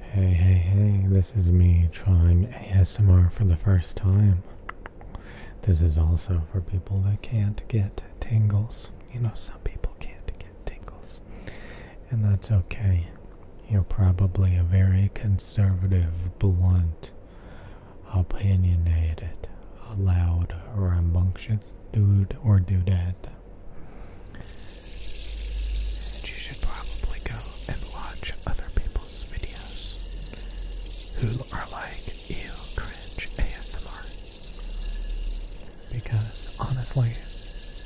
Hey, hey, hey, this is me trying ASMR for the first time. This is also for people that can't get tingles. You know, some people can't get tingles. And that's okay. You're probably a very conservative, blunt, opinionated, loud, rambunctious dude or do dudette. And you should probably go and watch other people's videos who are like, ew, cringe, ASMR. Because honestly,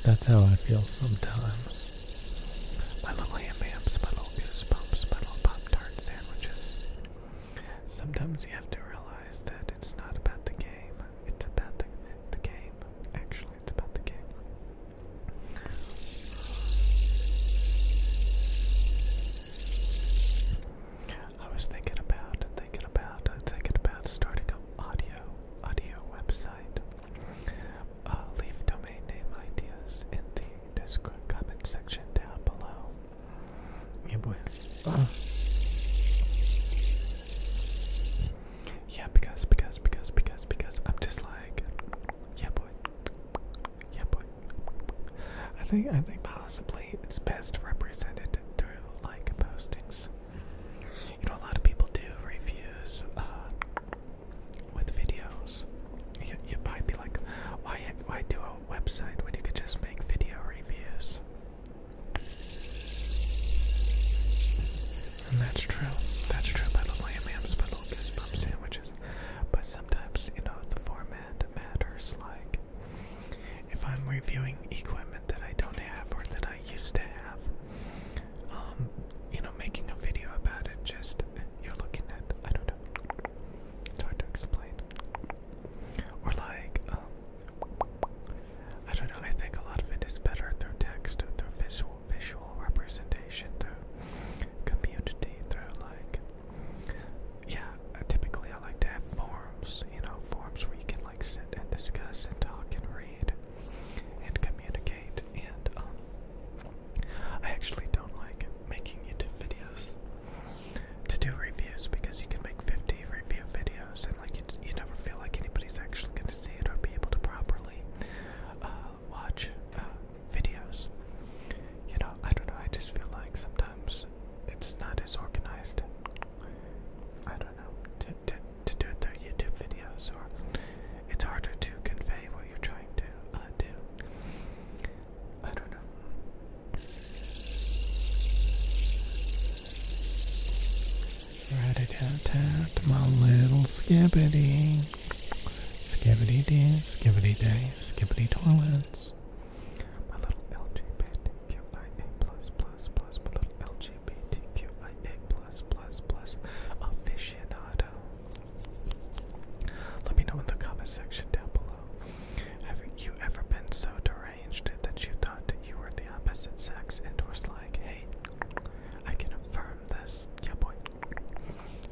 that's how I feel sometimes. My little ham hams, my little goosebumps, my little Pop Tart sandwiches. Sometimes you have to realize that it's not about the game, it's about the, the game. Actually, it's about the game. I was thinking about, thinking about, thinking about starting an audio, audio website. Uh, leave domain name ideas in the Discord comment section down below. Yeah, boy. Yeah, because, because, because, because, because I'm just like, yeah, boy, yeah, boy. I think, I think possibly it's best represented through like postings. You know, a lot of people do reviews uh, with videos. You, you might be like, why, why do a website when you could just make video reviews? And that's true. That's true. I love my MMs, but I love sandwiches. But sometimes, you know, the format matters. Like, if I'm reviewing equipment that I don't have or that I used to have, um, you know, making a video about it, just you're looking at, I don't know. It's hard to explain. Or like, um, I don't know, I think a lot of it is better through text, through visual visual representation, through community, through like yeah, uh, typically I like to have forums, you know, forums where you can like sit and discuss and talk and read and communicate and um, I actually don't like making YouTube videos to do reviews because you can make 50 review videos and like you, never feel like anybody's actually going to see it or be able to properly uh, watch uh, videos. You know, I don't know, I just feel like sometimes it's not as organized. I don't know, to, to, to do it through YouTube videos, or it's harder to convey what you're trying to uh, do. I don't know rat a tat my little skibbity. Skibbity-dee, skibbity-day, skibbity-toilets. My little LGBTQIA+++, plus, plus, plus, my little LGBTQIA+++, plus, plus, plus, aficionado. Let me know in the comment section down below. Have you ever been so direct? arranged that you thought you were the opposite sex and was like, hey, I can affirm this. Yeah, boy.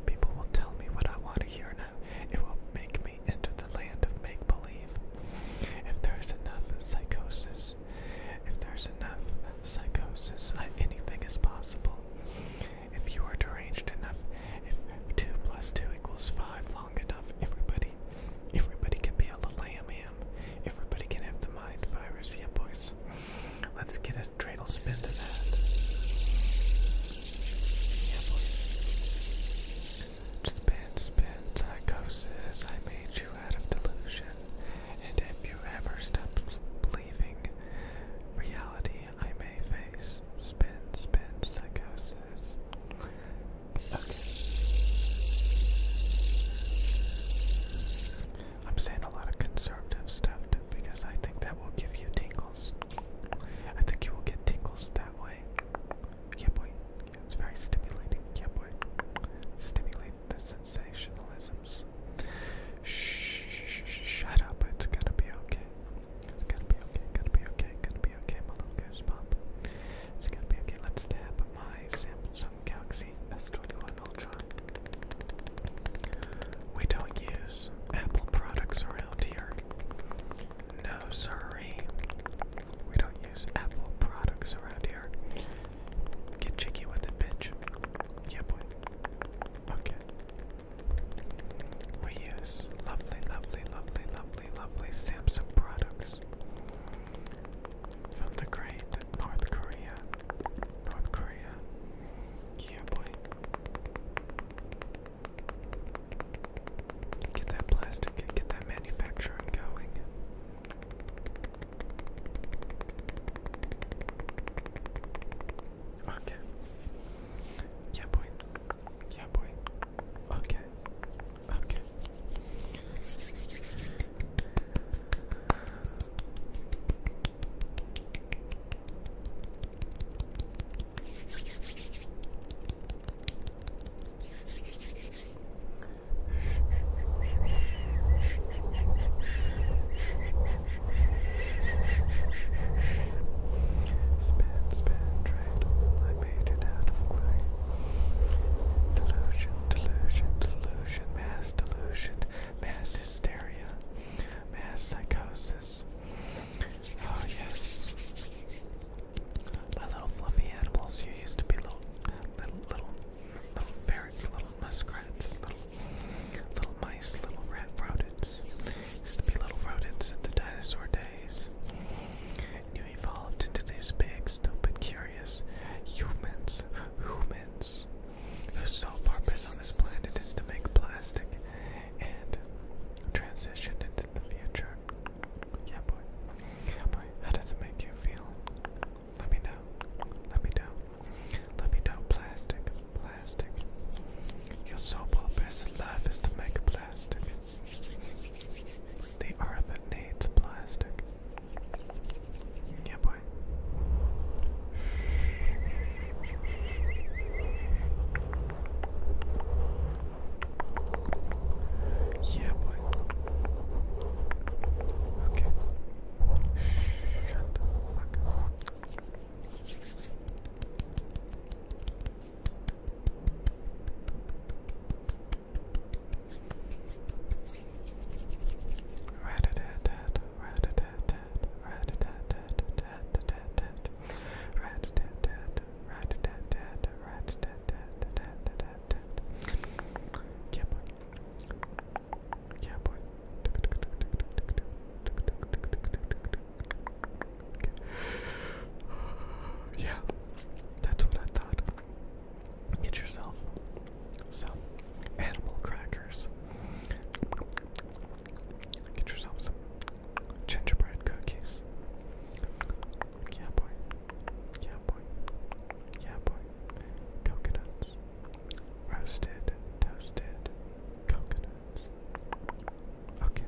People will tell me what I want to hear now. It will make me enter the land of make believe. If there's enough psychosis, if there's enough psychosis, anything is possible. If you are deranged enough, if 2 plus 2 equals 5 long enough, everybody everybody can be a little lamb here everybody can have the mind virus. Yeah, boys. Let's get a dreidel spin to that. Spin, spin, psychosis. I made you out of delusion. And if you ever stop believing reality, I may face. Spin, spin, psychosis. Okay. I'm saying a lot of conservative stuff because I think that will give you tingles. I think you will get tingles that way. Yeah, boy. Yeah, it's very stimulating. Yeah, boy. Stimulate the sensationalisms. Shh, sh sh shut up. It's gonna be okay. It's gonna be okay. Gonna be okay. Gonna be okay. My little goosebump. Let's tap my Samsung Galaxy S21 Ultra. We don't use Apple products around here. No, sorry. We don't use Apple products around here. Get cheeky with it, bitch. Yeah, boy. Okay. We use lovely, lovely, lovely, lovely lovely, lovely Samsung products from the great North Korea. North Korea. Yeah, boy. Get that plastic, get that manufacturing going. Okay. Yeah, boy. Yeah, boy. Okay. Okay. Spin, spin, trade, like made out of clay. Delusion, delusion, delusion, mass delusion, mass hysteria, mass psychosis. Oh yes. My little fluffy animals, you used to be little little little little ferrets, little muskrats, little little mice, little rat Used to be little rodents in the dinosaur days. You evolved into these big, stupid, curious humans, humans, The sole purpose on this planet is to make plastic and transition into the future. Yeah, boy. Yeah, boy. How does it make you feel? Let me know. Let me know. Let me know. Plastic. Plastic. Your sole purpose in life is to make plastic. The earth that needs plastic. Yeah, boy. Yeah, boy. Okay. Shut yeah, boy. Yeah, boy. yeah, that's what I thought. Get yourself some animal crackers. Get yourself some gingerbread cookies. Yeah, boy. Yeah, boy. Yeah, boy. Coconuts. Roasted, toasted coconuts. Okay.